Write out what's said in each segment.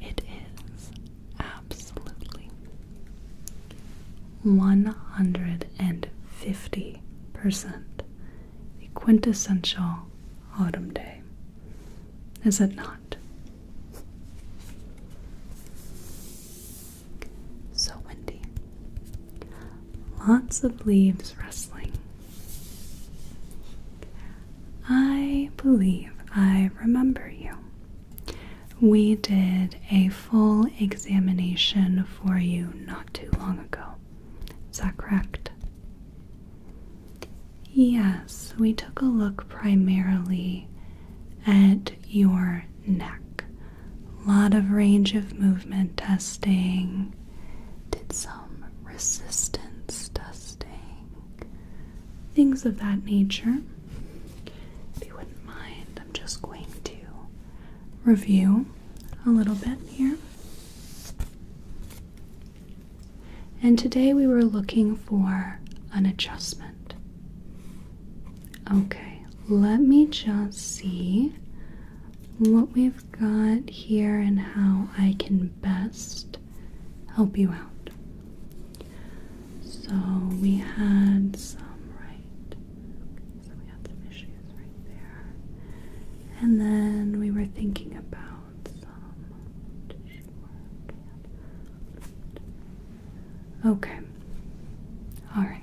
It is absolutely 150% the quintessential autumn day, is it not? So windy. Lots of leaves rustling. I believe I remember you. We did a full examination for you not too long ago. Is that correct? Yes, we took a look primarily at your neck. A lot of range of movement testing, did some resistance testing, things of that nature. If you wouldn't mind, I'm just going to review a little bit here. And today we were looking for an adjustment. Okay, let me just see what we've got here and how I can best help you out. So we had some right. so we had some issues right there. And then we were thinking about some Okay. Alright.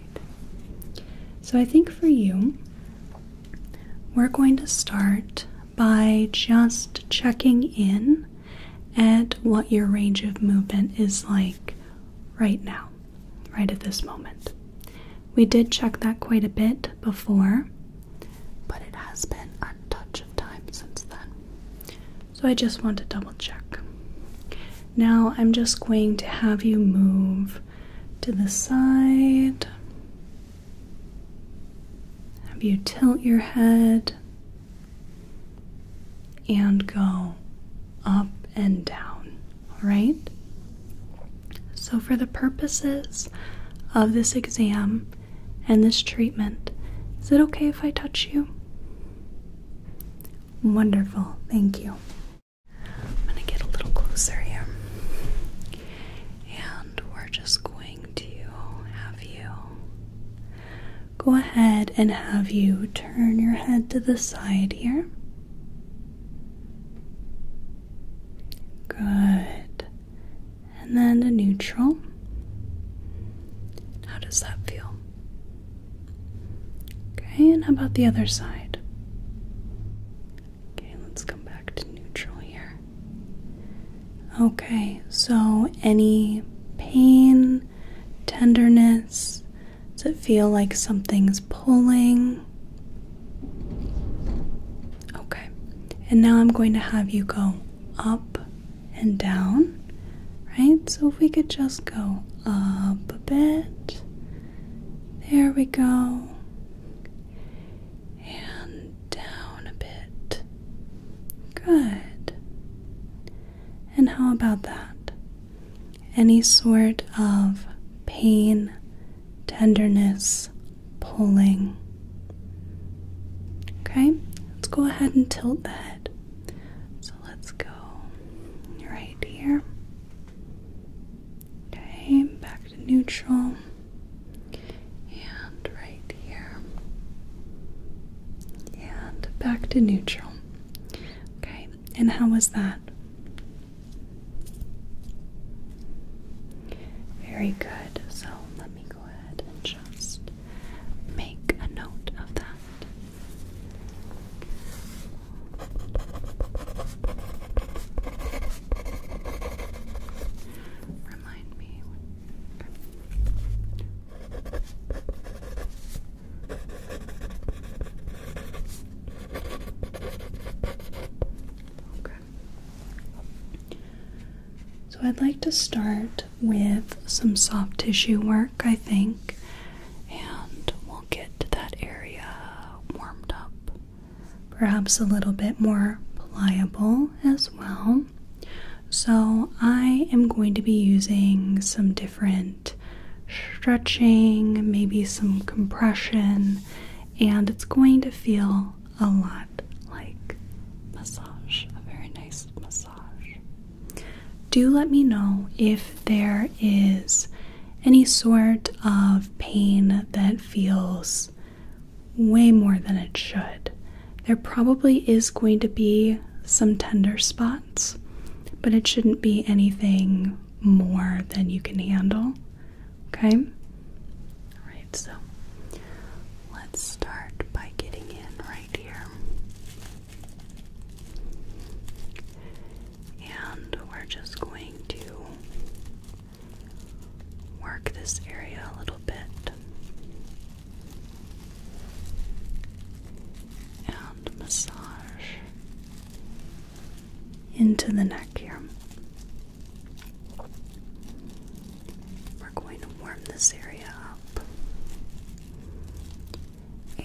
So I think for you, we're going to start by just checking in at what your range of movement is like right now, right at this moment. We did check that quite a bit before, but it has been a touch of time since then. So I just want to double check. Now I'm just going to have you move to the side. Have you tilt your head and go up and down, right? So, for the purposes of this exam and this treatment, is it okay if I touch you? Wonderful, thank you. I'm going to get a little closer here. And we're just going to have you go ahead and have you turn your head to the side here. Good. And then the neutral. How does that feel? Okay, and how about the other side? Okay, let's come back to neutral here. Okay, so any pain, tenderness? Does it feel like something's pulling? Okay, and now I'm going to have you go up and down, right? So if we could just go up a bit. There we go. And down a bit. Good. And how about that? Any sort of pain, tenderness, pulling. Okay, let's go ahead and tilt that. So let's go right here. Okay, back to neutral and right here, and back to neutral. Okay, and how was that? Very good. So let me go ahead and just make a note of that. Remind me. Okay. So I'd like to start with some soft tissue work, I think, and we'll get that area warmed up. Perhaps a little bit more pliable as well. So, I am going to be using some different stretching, maybe some compression, and it's going to feel a lot like massage, a very nice massage. Do let me know if there is any sort of pain that feels way more than it should. There probably is going to be some tender spots, but it shouldn't be anything more than you can handle. Okay? Alright, so let's start by getting in right here. And we're just going to work this area a little bit and massage into the neck here. We're going to warm this area up.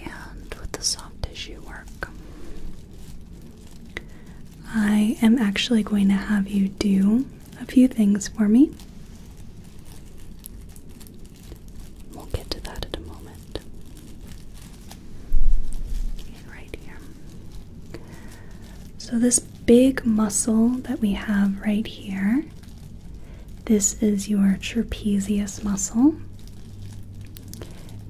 And with the soft tissue work, I am actually going to have you do a few things for me. We'll get to that in a moment. right here. So, this big muscle that we have right here, this is your trapezius muscle.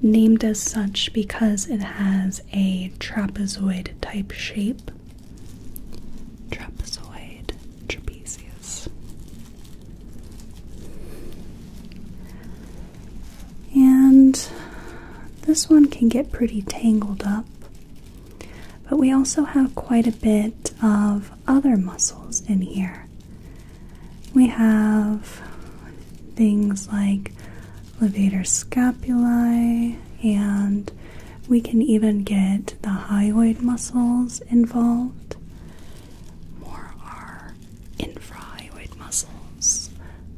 Named as such because it has a trapezoid type shape. Trapezoid trapezius. And this one can get pretty tangled up, but we also have quite a bit of other muscles in here. We have things like levator scapulae and we can even get the hyoid muscles involved, more our infrahyoid muscles,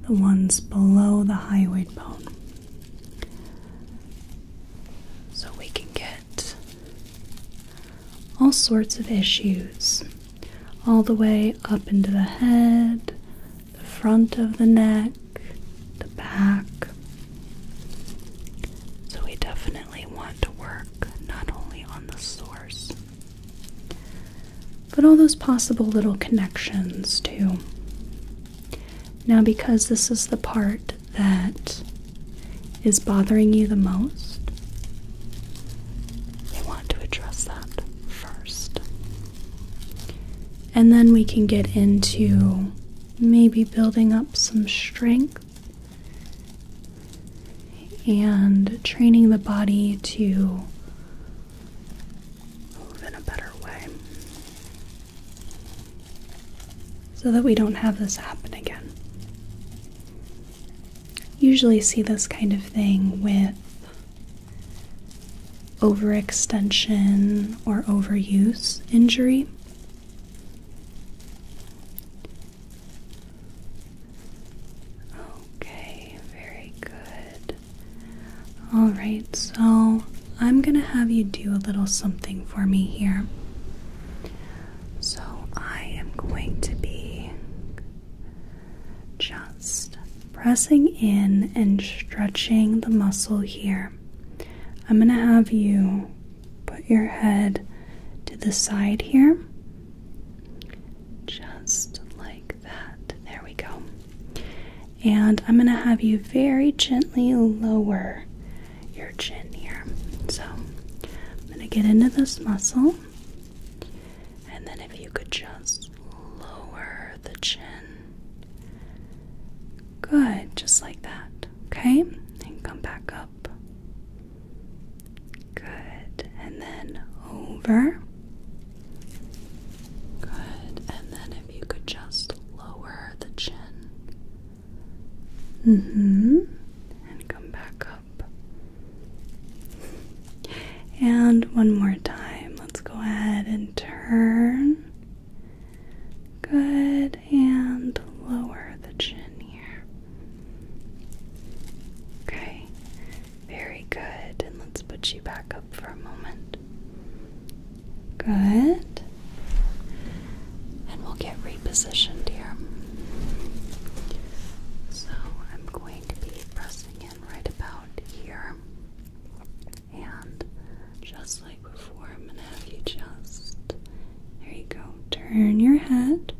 the ones below the hyoid bone. So we can get all sorts of issues, all the way up into the head, the front of the neck, the back. So we definitely want to work not only on the source, but all those possible little connections too. Now, because this is the part that is bothering you the most, we want to address that first. And then we can get into maybe building up some strength and training the body to move in a better way so that we don't have this happen again. Usually, see this kind of thing with overextension or overuse injury. Okay, very good. All right, so I'm going to have you do a little something for me here. So I am going to be just pressing in and stretching the muscle here. I'm going to have you Put your head to the side here. Just like that. There we go. And I'm going to have you very gently lower your chin here. So I'm going to get into this muscle. And then if you could just lower the chin Good, just like that. Okay? And come back up. Good. And then over. Good. And then if you could just lower the chin. Mm-hmm. And come back up. And one more time. Let's go ahead and turn. Good, and lower the chin here. Okay, very good. And let's put you back up for a moment. Good. And we'll get repositioned here. So I'm going to be pressing in right about here. And just like before, I'm going to have you just, there you go, turn your head.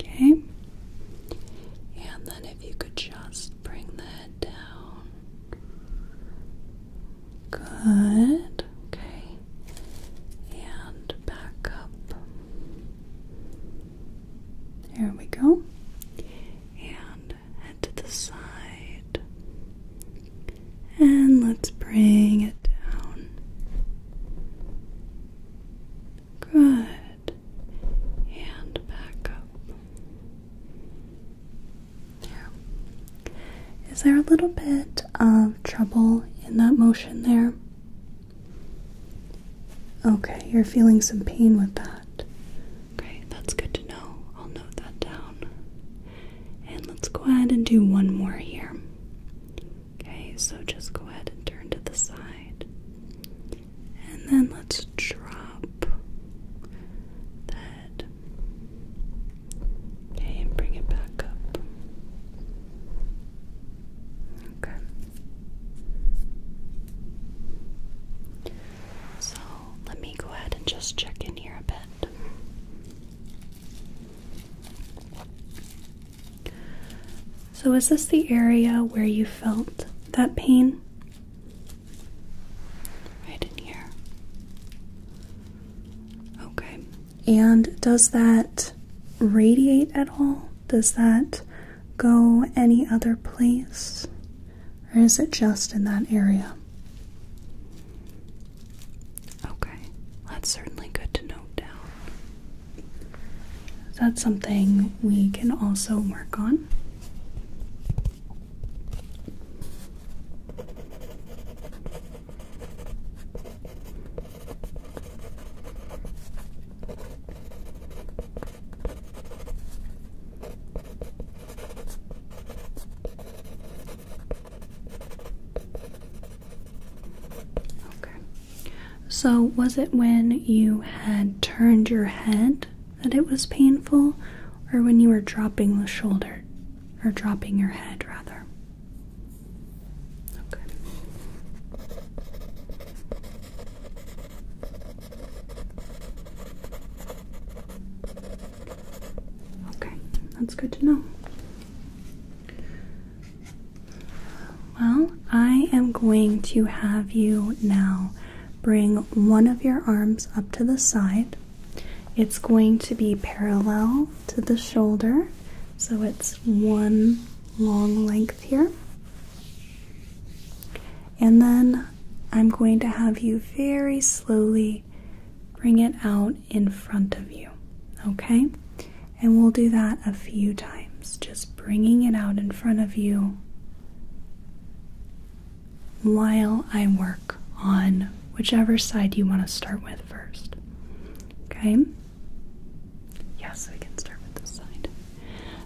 Okay? And then if you could just bring the head down. Good. Okay. And back up. There we go. And head to the side. And let's bring it down. Good. And back up. There. Is there a little bit of trouble in that motion there? Okay, you're feeling some pain with that. Okay, that's good to know. I'll note that down. And let's go ahead and do one more here. Okay, so just go ahead and turn to the side. And then let's drop the Okay, and bring it back up. Okay. So let me go ahead and just check in here a bit. So, is this the area where you felt that pain? Right in here. Okay. And does that radiate at all? Does that go any other place? Or is it just in that area? Okay, that's certainly good to note down. That's something we can also work on. Okay. So, was it when you had turned your head that it was painful, or when you were dropping the shoulder, or dropping your head rather? Okay. Okay, that's good to know. Well, I am going to have you now bring one of your arms up to the side. It's going to be parallel to the shoulder, so it's one long length here. And then I'm going to have you very slowly bring it out in front of you. Okay? And we'll do that a few times, just bringing it out in front of you while I work on whichever side you want to start with first. Okay? Yes, we can start with this side.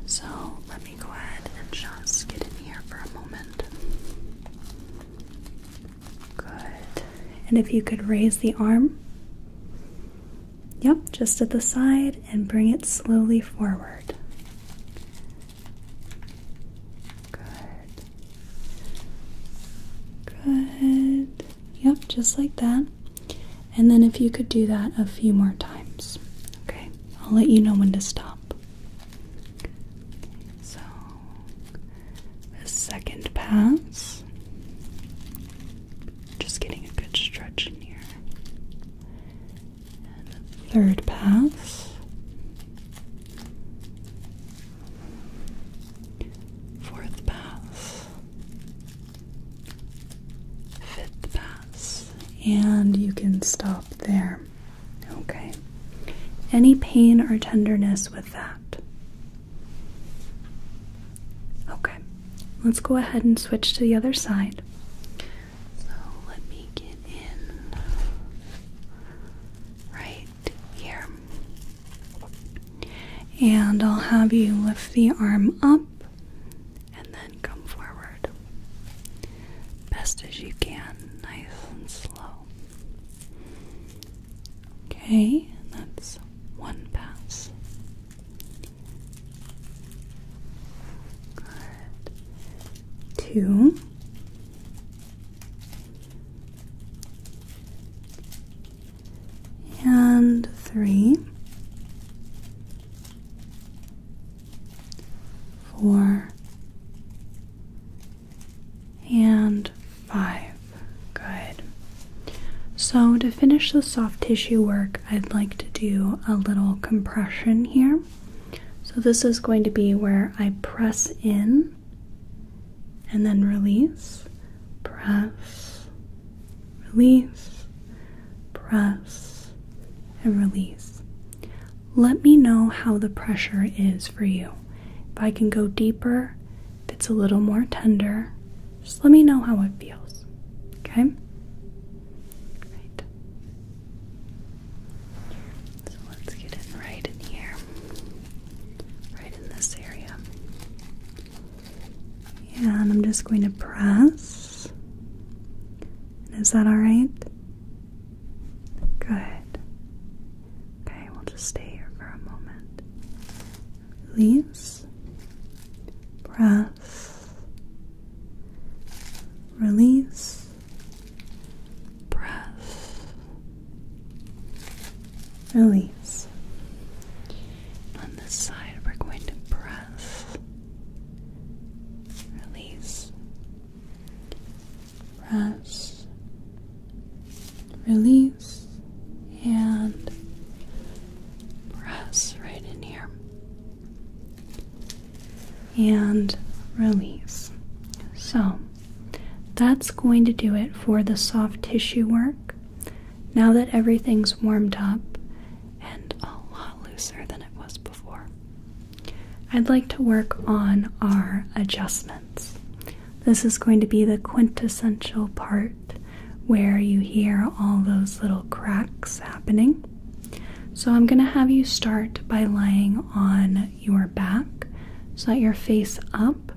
So let me go ahead and just get in here for a moment. Good. And if you could raise the arm. Yep, just at the side and bring it slowly forward. Good. Good. Yep, just like that. And then if you could do that a few more times. Okay, I'll let you know when to stop. So, the second pass, just getting a good stretch in here. third pass, fourth pass, fifth pass, and you can stop there. Okay. Any pain or tenderness with that. Okay, let's go ahead and switch to the other side. So let me get in right here. And I'll have you lift the arm up and then come forward best as you can, nice and slow. Okay, that's one pass. Good. Two. And three, four, and five. Good. So, to finish the soft tissue work, I'd like to do a little compression here. So, this is going to be where I press in and then release, press, release, press, and release. Let me know how the pressure is for you. If I can go deeper, if it's a little more tender, just let me know how it feels. Okay? Right. So let's get in right in here. Right in this area. And I'm just going to press. is that alright? Good. Okay, we'll just stay here for a moment. Release. Breath. Release. Breath. Release. On this side, we're going to breath. Release press, release, and press right in here. And release. So that's going to do it for the soft tissue work. Now that everything's warmed up and a lot looser than it was before, I'd like to work on our adjustments. This is going to be the quintessential part where you hear all those little cracks happening. So, I'm going to have you start by lying on your back so that your face up.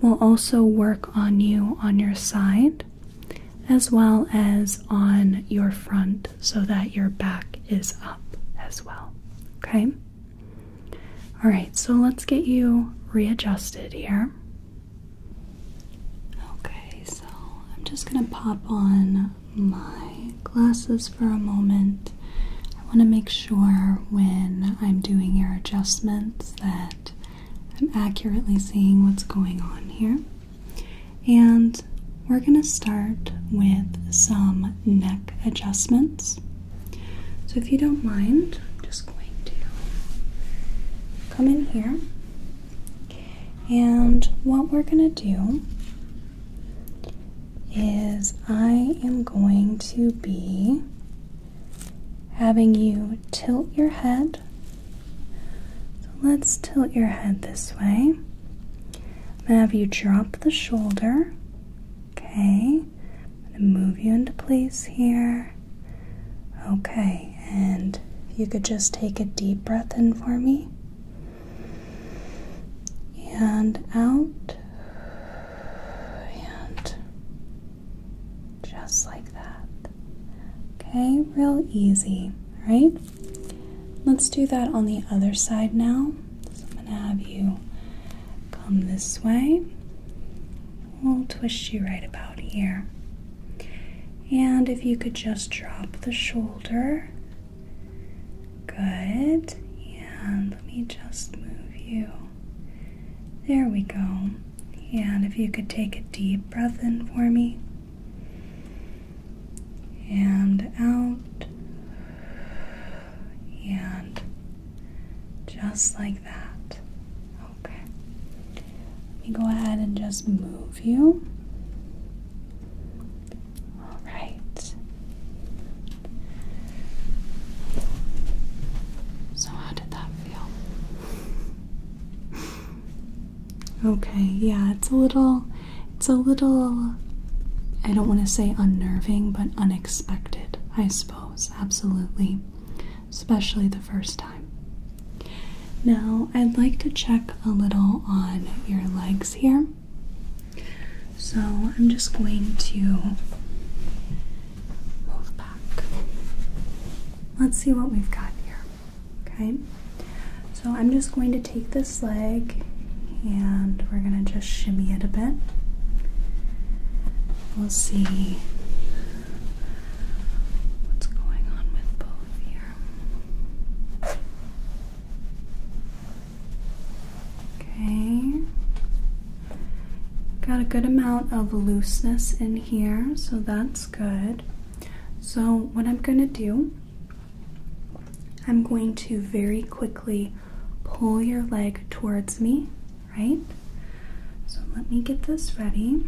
We'll also work on you on your side as well as on your front so that your back is up as well. Okay? All right, so let's get you readjusted here. Okay, so I'm just going to pop on my glasses for a moment. I want to make sure when I'm doing your adjustments that I'm accurately seeing what's going on here. And we're going to start with some neck adjustments. So, if you don't mind, I'm just going to come in here. And what we're going to do is, I am going to be having you tilt your head. So, let's tilt your head this way. and have you drop the shoulder. Okay. I'm going to move you into place here. Okay, and you could just take a deep breath in for me and out and just like that. Okay, real easy, right? Let's do that on the other side now. So I'm going to have you come this way. We'll twist you right about here. And if you could just drop the shoulder. Good. And let me just move you. There we go. And if you could take a deep breath in for me. And out. And just like that. Okay. Let me go ahead and just move you. All right. So, how did that feel? okay, yeah, it's a little, it's a little, I don't want to say unnerving, but unexpected. I suppose, absolutely, especially the first time. Now, I'd like to check a little on your legs here. So, I'm just going to move back. Let's see what we've got here. Okay, so I'm just going to take this leg and we're going to just shimmy it a bit. We'll see what's going on with both here. Okay. Got a good amount of looseness in here, so that's good. So, what I'm going to do, I'm going to very quickly pull your leg towards me, right? So let me get this ready.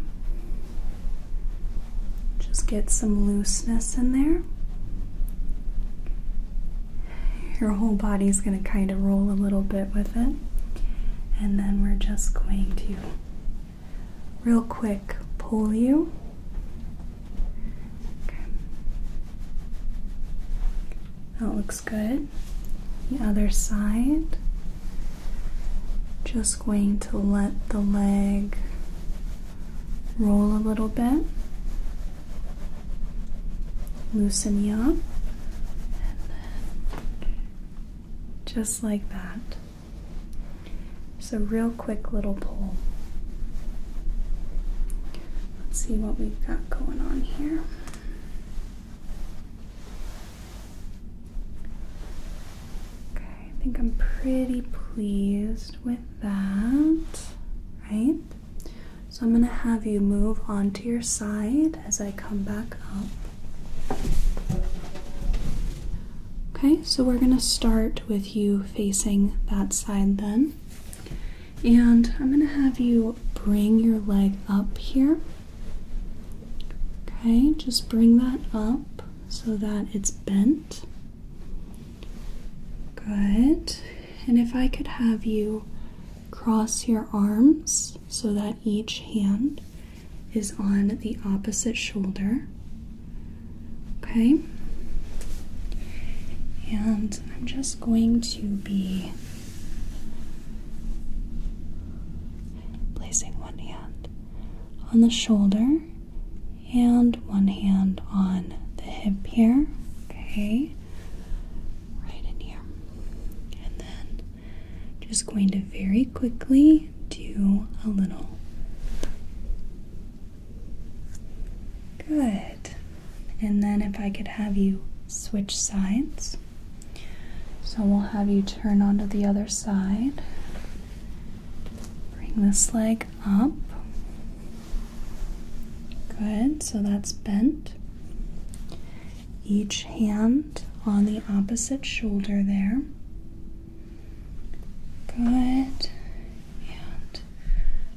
Just get some looseness in there. Your whole body's going to kind of roll a little bit with it. And then we're just going to real quick pull you. Okay. That looks good. The other side. Just going to let the leg roll a little bit. Loosen you up. just like that. Just a real quick little pull. Let's see what we've got going on here. Okay, I think I'm pretty pleased with that, right? So I'm going to have you move onto your side as I come back up. Okay, so we're going to start with you facing that side then. And I'm going to have you bring your leg up here. Okay, just bring that up so that it's bent. Good. And if I could have you cross your arms so that each hand is on the opposite shoulder. Okay. And I'm just going to be Placing one hand on the shoulder and one hand on the hip here. Okay, right in here. And then just going to very quickly do a little. Good. And then if I could have you switch sides. So we'll have you turn onto the other side. Bring this leg up. Good, so that's bent. Each hand on the opposite shoulder there. Good.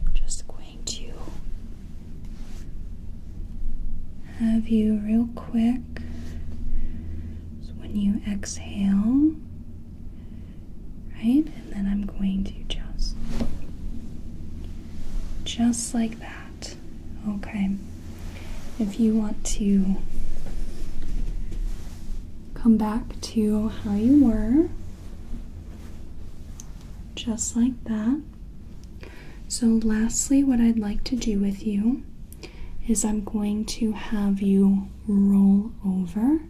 I'm just going to have you real quick. So when you exhale, right? And then I'm going to just just like that. Okay. If you want to come back to how you were, just like that. So, lastly, what I'd like to do with you is I'm going to have you roll over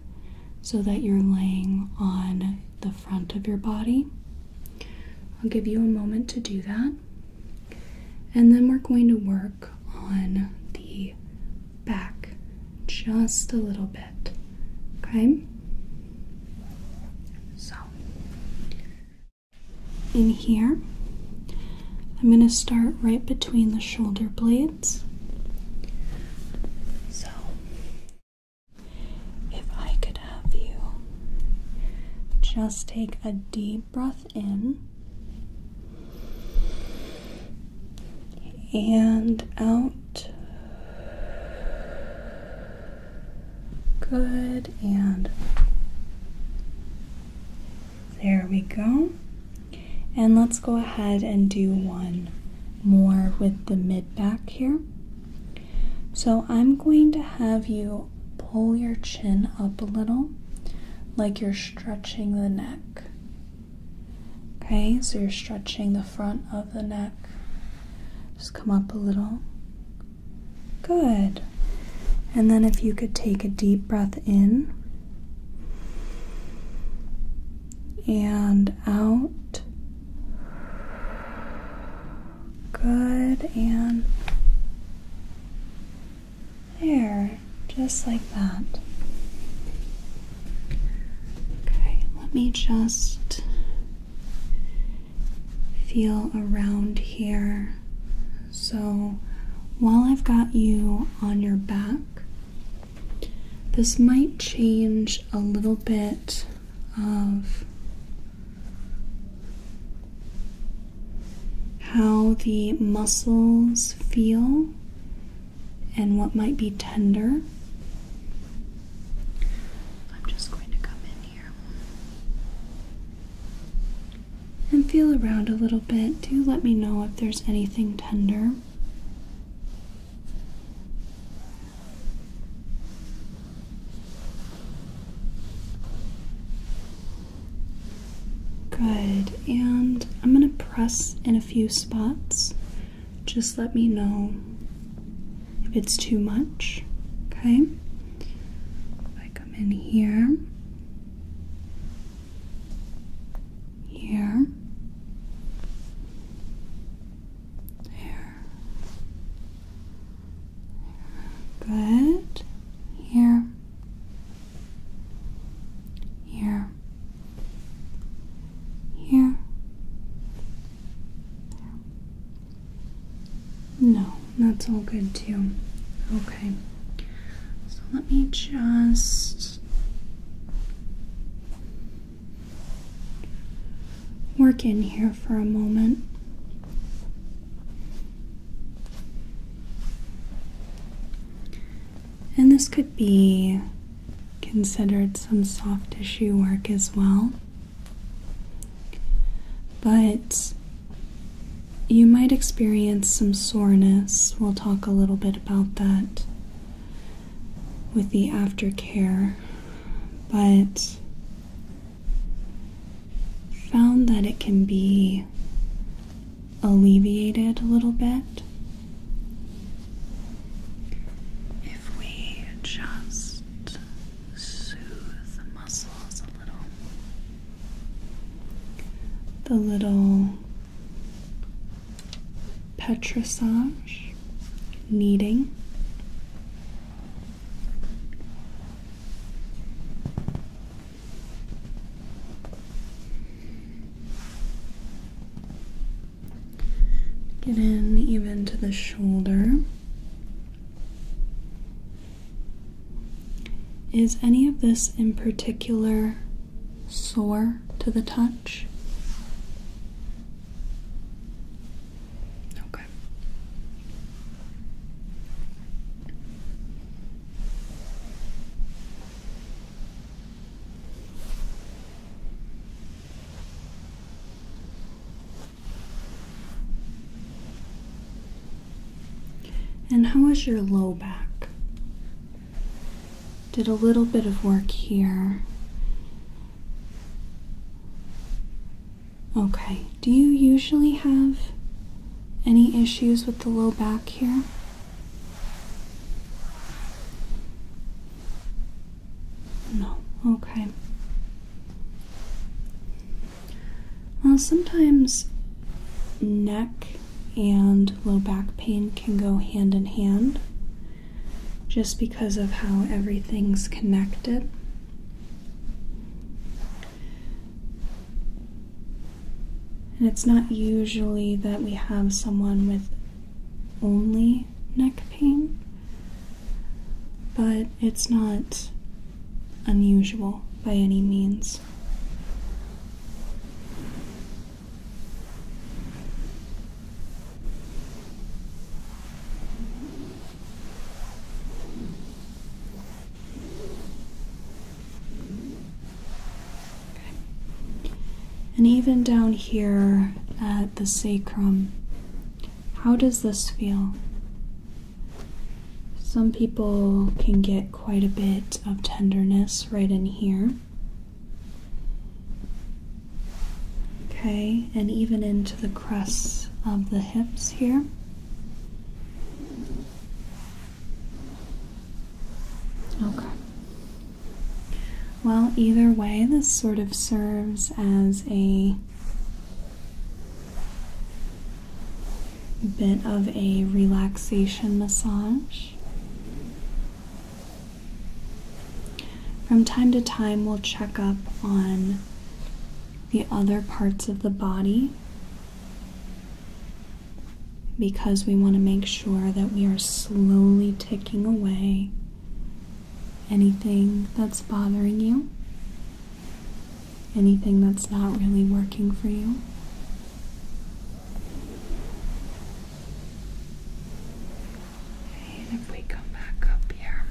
so that you're laying on the front of your body. I'll give you a moment to do that. And then we're going to work on the back just a little bit. Okay? So, in here, I'm going to start right between the shoulder blades. So, if I could have you just take a deep breath in and out. Good, and there we go. And let's go ahead and do one more with the mid back here. So I'm going to have you pull your chin up a little, like you're stretching the neck. Okay, so you're stretching the front of the neck just come up a little. Good. And then if you could take a deep breath in and out. Good. And there. Just like that. Okay, let me just feel around here. So while I've got you on your back, this might change a little bit of how the muscles feel and what might be tender. I'm just going to come in and feel around a little bit. Do let me know if there's anything tender. Good, and I'm going to press in a few spots. Just let me know if it's too much. Okay? If I come in here, here, there, good, here, here, here. No, that's all good too. Okay. So let me just work in here for a moment. And this could be considered some soft tissue work as well. But you might experience some soreness. We'll talk a little bit about that with the aftercare. But found that it can be alleviated a little bit if we just soothe the muscles a little. The little petrissage kneading. Get in even to the shoulder. Is any of this in particular sore to the touch? Okay. And how is your low back? Did a little bit of work here. Okay, do you usually have any issues with the low back here? No, okay. Well, sometimes neck and low back pain can go hand in hand just because of how everything's connected. And it's not usually that we have someone with only neck pain, but it's not unusual by any means. And even down here at the sacrum, how does this feel? Some people can get quite a bit of tenderness right in here. Okay, and even into the crests of the hips here. Okay. Well, either way, this sort of serves as a bit of a relaxation massage. From time to time, we'll check up on the other parts of the body because we want to make sure that we are slowly ticking away anything that's bothering you, anything that's not really working for you. if we come back up here,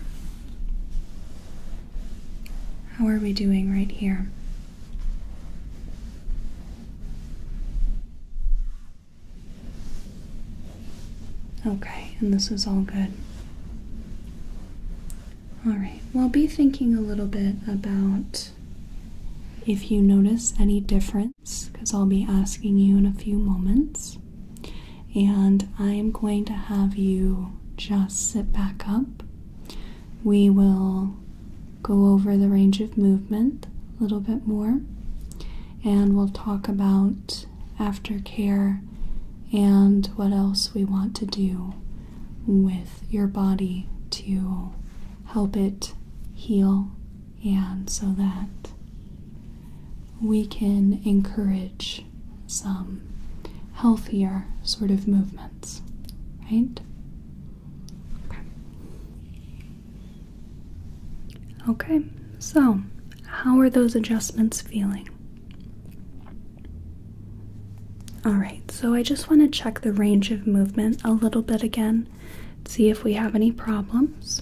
how are we doing right here? Okay, and this is all good. All right, well, be thinking a little bit about if you notice any difference, because I'll be asking you in a few moments. And I am going to have you just sit back up. We will go over the range of movement a little bit more, and we'll talk about aftercare, and what else we want to do with your body to help it heal, and so that we can encourage some healthier sort of movements, right? Okay, okay so how are those adjustments feeling? Alright, so I just want to check the range of movement a little bit again, see if we have any problems.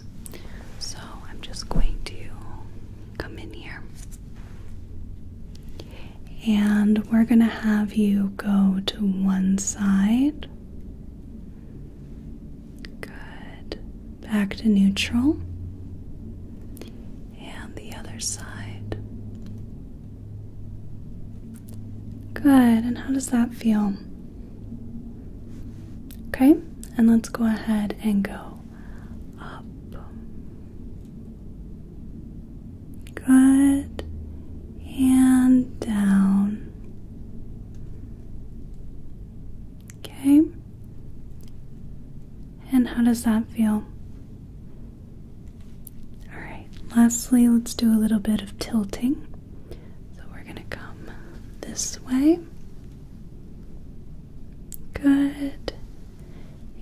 So I'm just going to come in here. And we're going to have you go to one side. Good back to neutral, and the other side. Good, and how does that feel? Okay, and let's go ahead and go up. Good, and down. Okay, and how does that feel? Alright, lastly, let's do a little bit of tilting. So we're going to come this way. Good.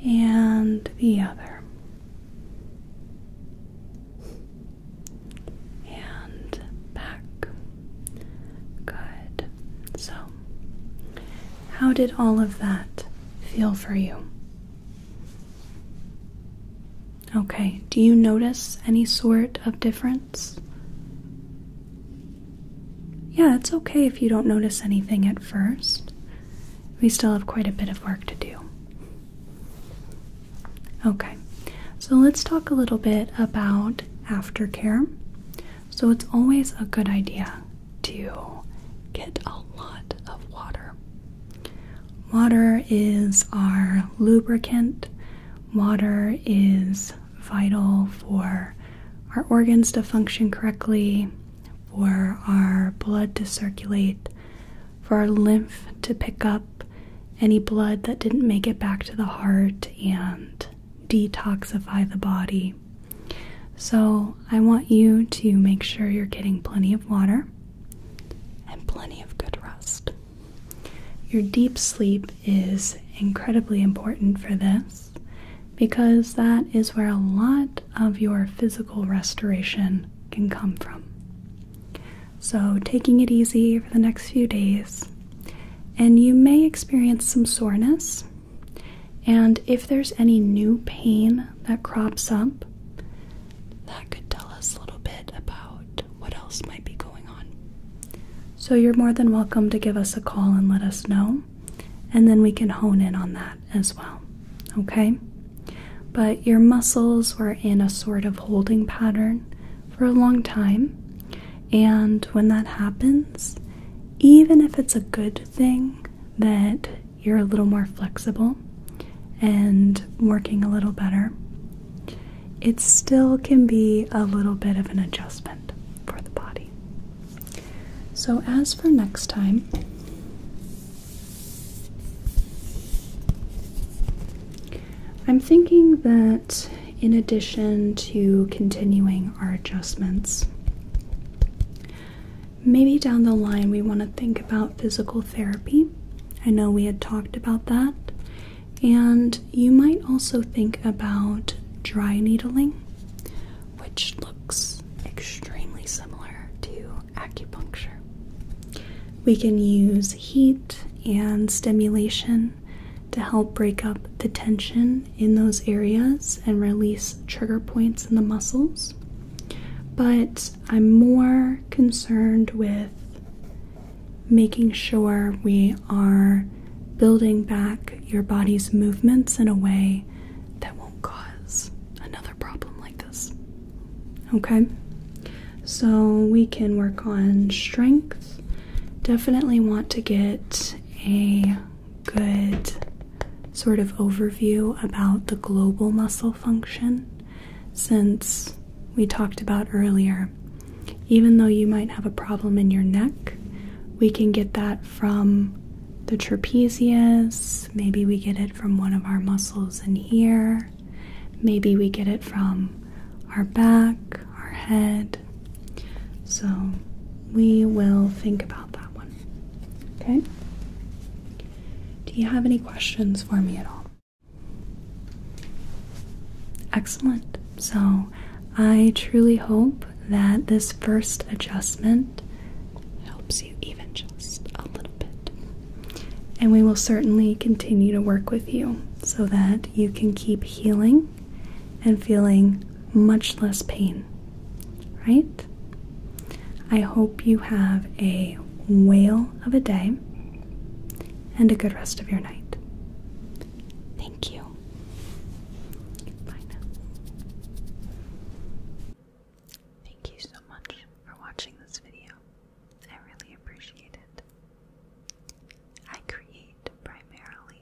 And the other. And back. Good. So, how did all of that feel for you? Okay, do you notice any sort of difference? Yeah, it's okay if you don't notice anything at first. We still have quite a bit of work to do. Okay, so let's talk a little bit about aftercare. So it's always a good idea to get a lot of water. Water is our lubricant. Water is vital for our organs to function correctly, for our blood to circulate, for our lymph to pick up any blood that didn't make it back to the heart, and detoxify the body. So, I want you to make sure you're getting plenty of water and plenty of good rest. Your deep sleep is incredibly important for this because that is where a lot of your physical restoration can come from. So, taking it easy for the next few days, and you may experience some soreness and if there's any new pain that crops up, that could tell us a little bit about what else might be going on. So you're more than welcome to give us a call and let us know, and then we can hone in on that as well. Okay? But your muscles were in a sort of holding pattern for a long time, and when that happens, even if it's a good thing that you're a little more flexible and working a little better, it still can be a little bit of an adjustment for the body. So, as for next time, I'm thinking that in addition to continuing our adjustments. Maybe down the line we want to think about physical therapy. I know we had talked about that. And you might also think about dry needling, which looks extremely similar to acupuncture. We can use heat and stimulation to help break up the tension in those areas and release trigger points in the muscles. But I'm more concerned with making sure we are building back your body's movements in a way that won't cause another problem like this. Okay? So we can work on strength. Definitely want to get a good sort of overview about the global muscle function since we talked about earlier. Even though you might have a problem in your neck, we can get that from the trapezius, maybe we get it from one of our muscles in here, maybe we get it from our back, our head, so we will think about that one. Okay? Do you have any questions for me at all? Excellent. So I truly hope that this first adjustment helps you even just a little bit. And we will certainly continue to work with you so that you can keep healing and feeling much less pain, right? I hope you have a whale of a day and a good rest of your night. Thank you. Thank you so much for watching this video. I really appreciate it. I create primarily